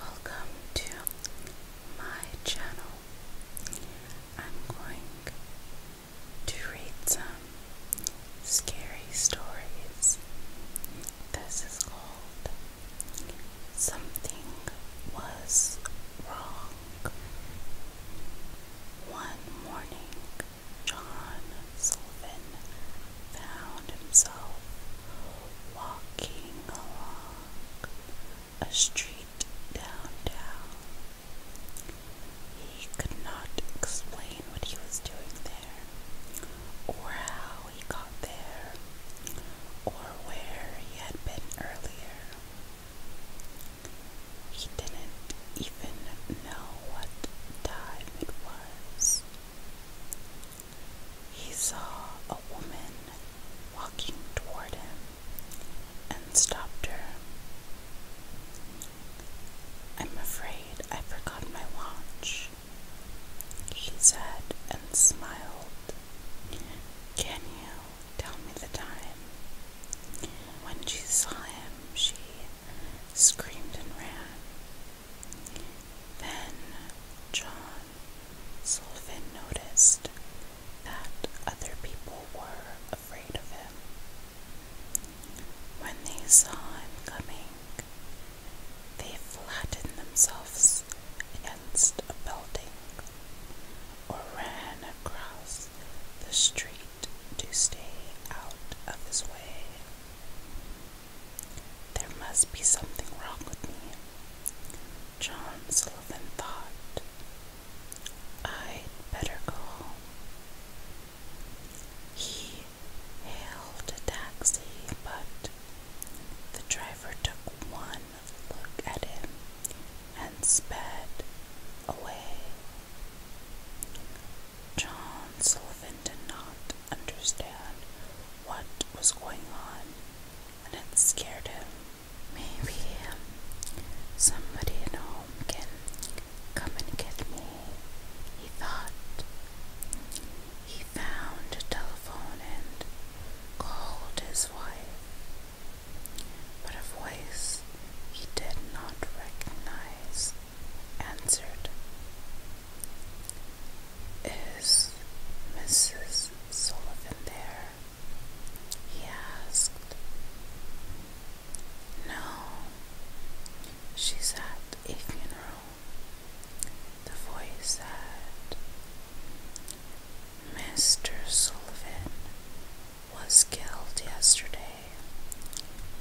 Welcome to my channel. I'm going to read some scary stories. This is called Something Was Wrong. One morning, John Sullivan found himself walking along a street downtown. He could not explain what he was doing there, or how he got there, or where he had been earlier. He didn't even know what time it was. He saw a woman walking toward him and stopped her. I'm afraid I forgot my watch, he said and smiled. Can you tell me the time? When she saw him, she screamed and ran. Then John Sullivan noticed that other people were afraid of him. When they saw him coming, they flattened themselves against a building or ran across the street to stay out of his way. There must be something wrong with me, John Sullivan thought. I'd better go home. He hailed a taxi, but the driver took one look at him and sped away. John Sullivan did not understand what was going on, and it scared him. Maybe somebody at home can come and get me, he thought. He found a telephone and called his wife, but a voice he did not recognize answered, Is Mrs. Sullivan there? He asked. No, she's at a funeral. The voice said, Mr. Sullivan was killed yesterday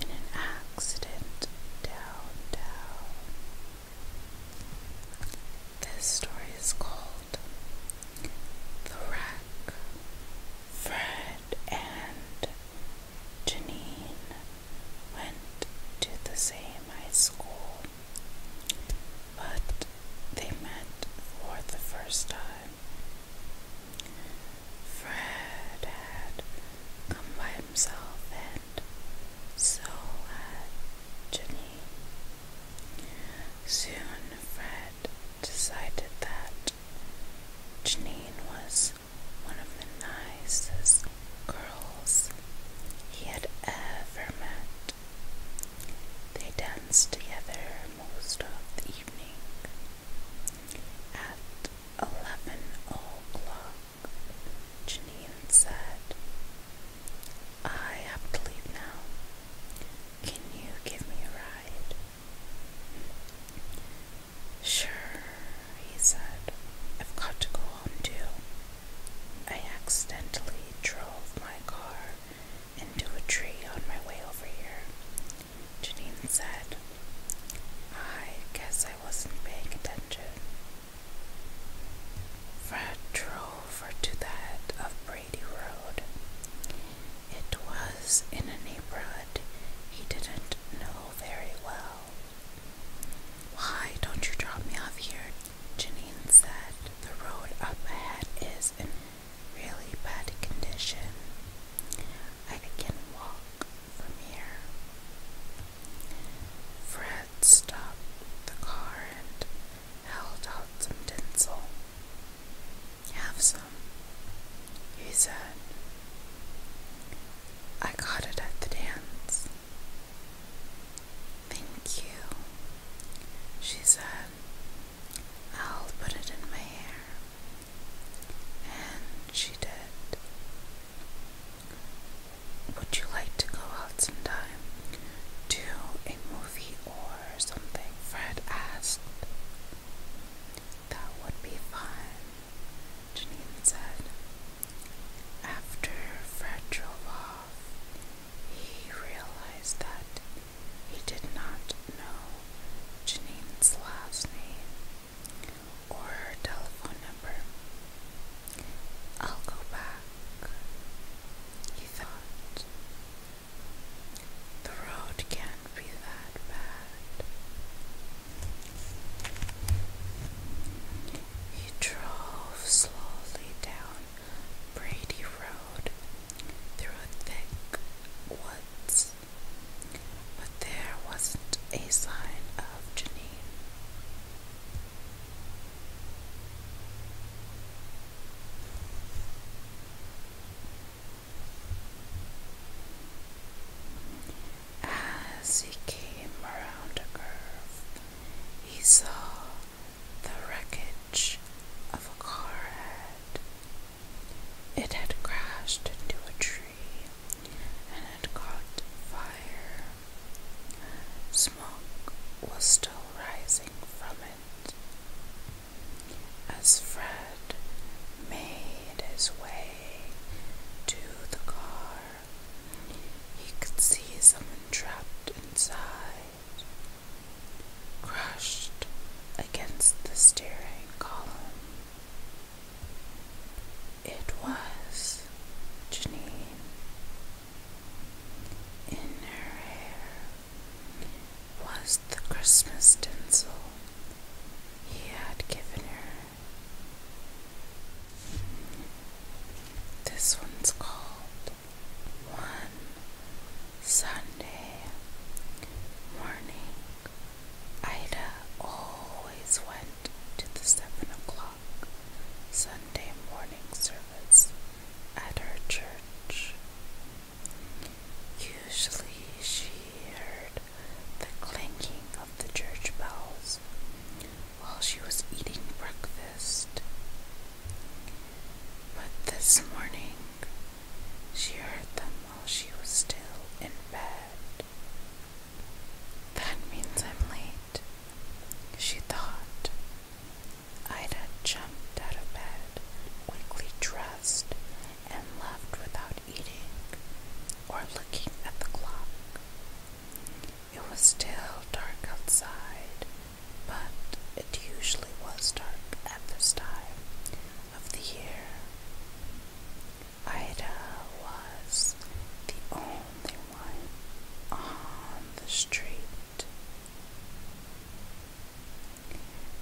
in an accident downtown. This story is called The Wreck. Fred and Janine went to the same high school, but they met for the first time Fred had come by himself, and so had Janine. Soon, Fred decided that Janine was one of the nicest girls he had ever met. They danced together most of the evening. At eleven o'clock, Janine said, I have to leave now. Can you give me a ride? Sure, he said. I've got to go home too. I accidentally drove my car into a tree on my way over here, Janine said. I guess I wasn't paying attention. Fred drove to the head of Brady Road. It was in a neighborhood he didn't know very well. Why don't you drop me off here? Janine said. The road up ahead is in really bad condition. I can walk from here. Fred stopped the car and held out some tinsel. Have some, he said. I got it at the dance. Thank you, she said, I'll put it in my hair. And she did. Would you like to go out sometime to a movie or something? Fred asked. That would be fun, Janine said. After Fred drove off, he realized that he did not know Janine's last name or her telephone number. I'll go back, he thought. The road can't be that bad. He drove slowly down Brady rode through a thick woods, but there wasn't a sign of Janine. As he came around a curve, he saw the wreckage of a car It had crashed into a tree and had caught fire. Smoke was still rising from it. As Fred made his way to the car, he could see someone trapped inside crushed against the steering column. It was Janine. In her hair was the Christmas dinsel he had given her. This one's called one Sunday morning, Ida always went to the seven o'clock Sunday morning service at her church. Usually she heard the clanking of the church bells while she was eating breakfast. But this morning she heard them while she was still in bed. That means I'm late, she thought. Ida jumped out of bed, quickly dressed, and left without eating or looking at the clock. It was still dark outside, but it usually was dark at this time of the year. Ida was the only one on the street.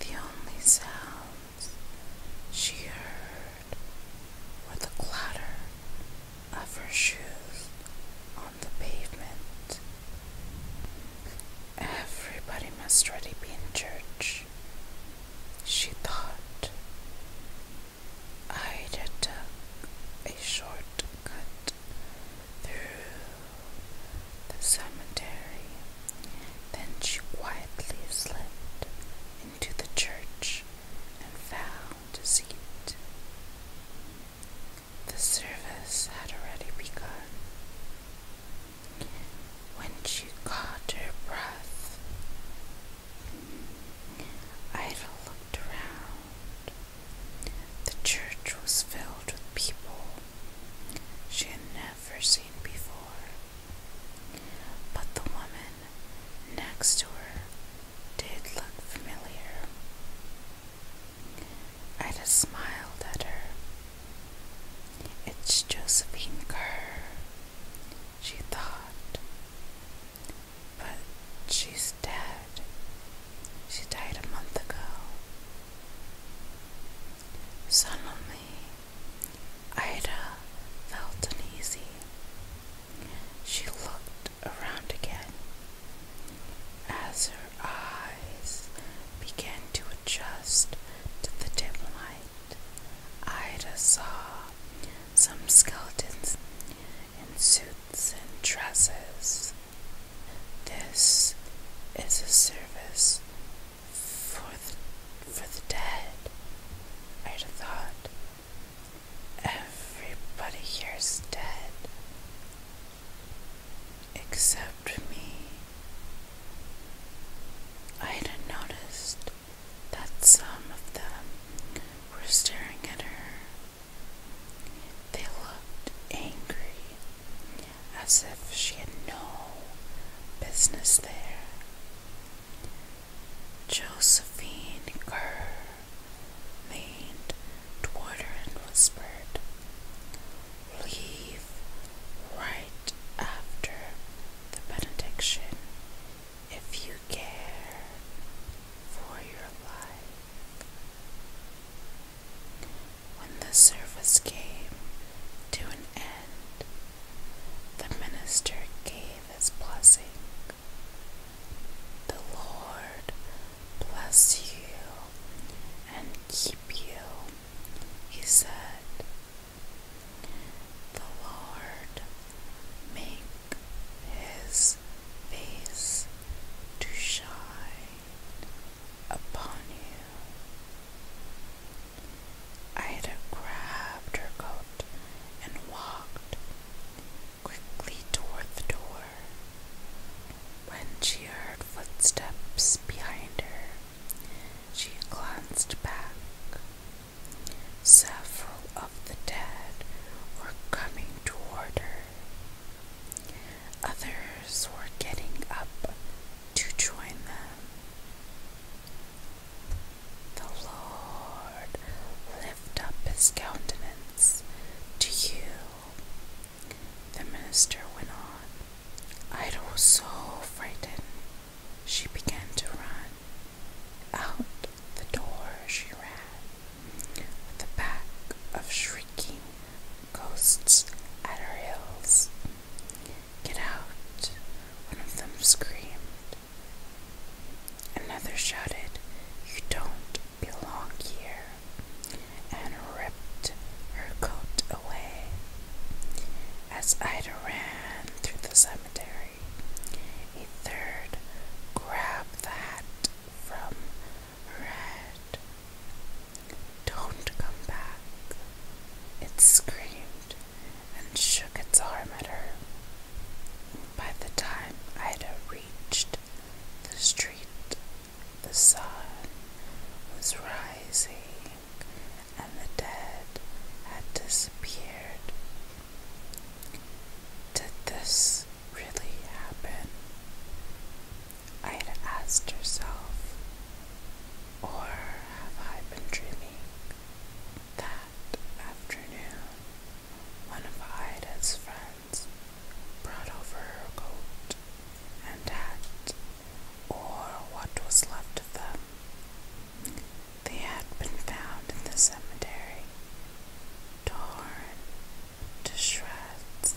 The only sounds she heard were the clatter of her shoes on the pavement. Everybody must already be in church, she thought. Ida took a short cut through the cemetery. Then she quietly slipped into the church and fell to The service had already begun. When she caught her breath, Ida looked around. The church was filled with people she had never seen before, but the woman next to her did look familiar. I just smiled at her. It's Josephine Kerr, she thought. But she's dead. She died a month ago. Suddenly, Ida felt uneasy. She looked around again as her eyes began to adjust to the dim light. Ida saw some skeletons in suits and dresses. This is a service for the, for the dead, Ida thought. Everybody here's dead except me. I hadn't noticed that some of them were staring at her. They looked angry, as if she had no business there. Josephine Kerr leaned toward and whispered, Leave right after the benediction if you care for your life. When the service came to an end, the minister gave his blessing. The Lord bless you and keep you, he said. The Lord make his face to shine upon you Ida grabbed her coat and walked quickly toward the door. When she heard footsteps behind her, she glanced back. Several of the dead were coming toward her. Others were getting up to join them. The Lord lift up his countenance to you. The minister went on. Ida was so frightened she began to run. Out the door she ran, with the back of shrieking ghosts at her heels. Get out! One of them screamed. Another shouted, You don't belong here, and ripped her coat away. As Ida ran through the cemetery, a third grabbed the hat from her head. Don't come back, it screamed and shook its arm at her. By the time Ida reached the street, the sun was rising and the dead had disappeared. Did this really happen? I had asked herself, or have I been dreaming? That afternoon, one of Ida's friends brought over her coat and hat, or what was left of them. They had been found in the cemetery, torn to shreds.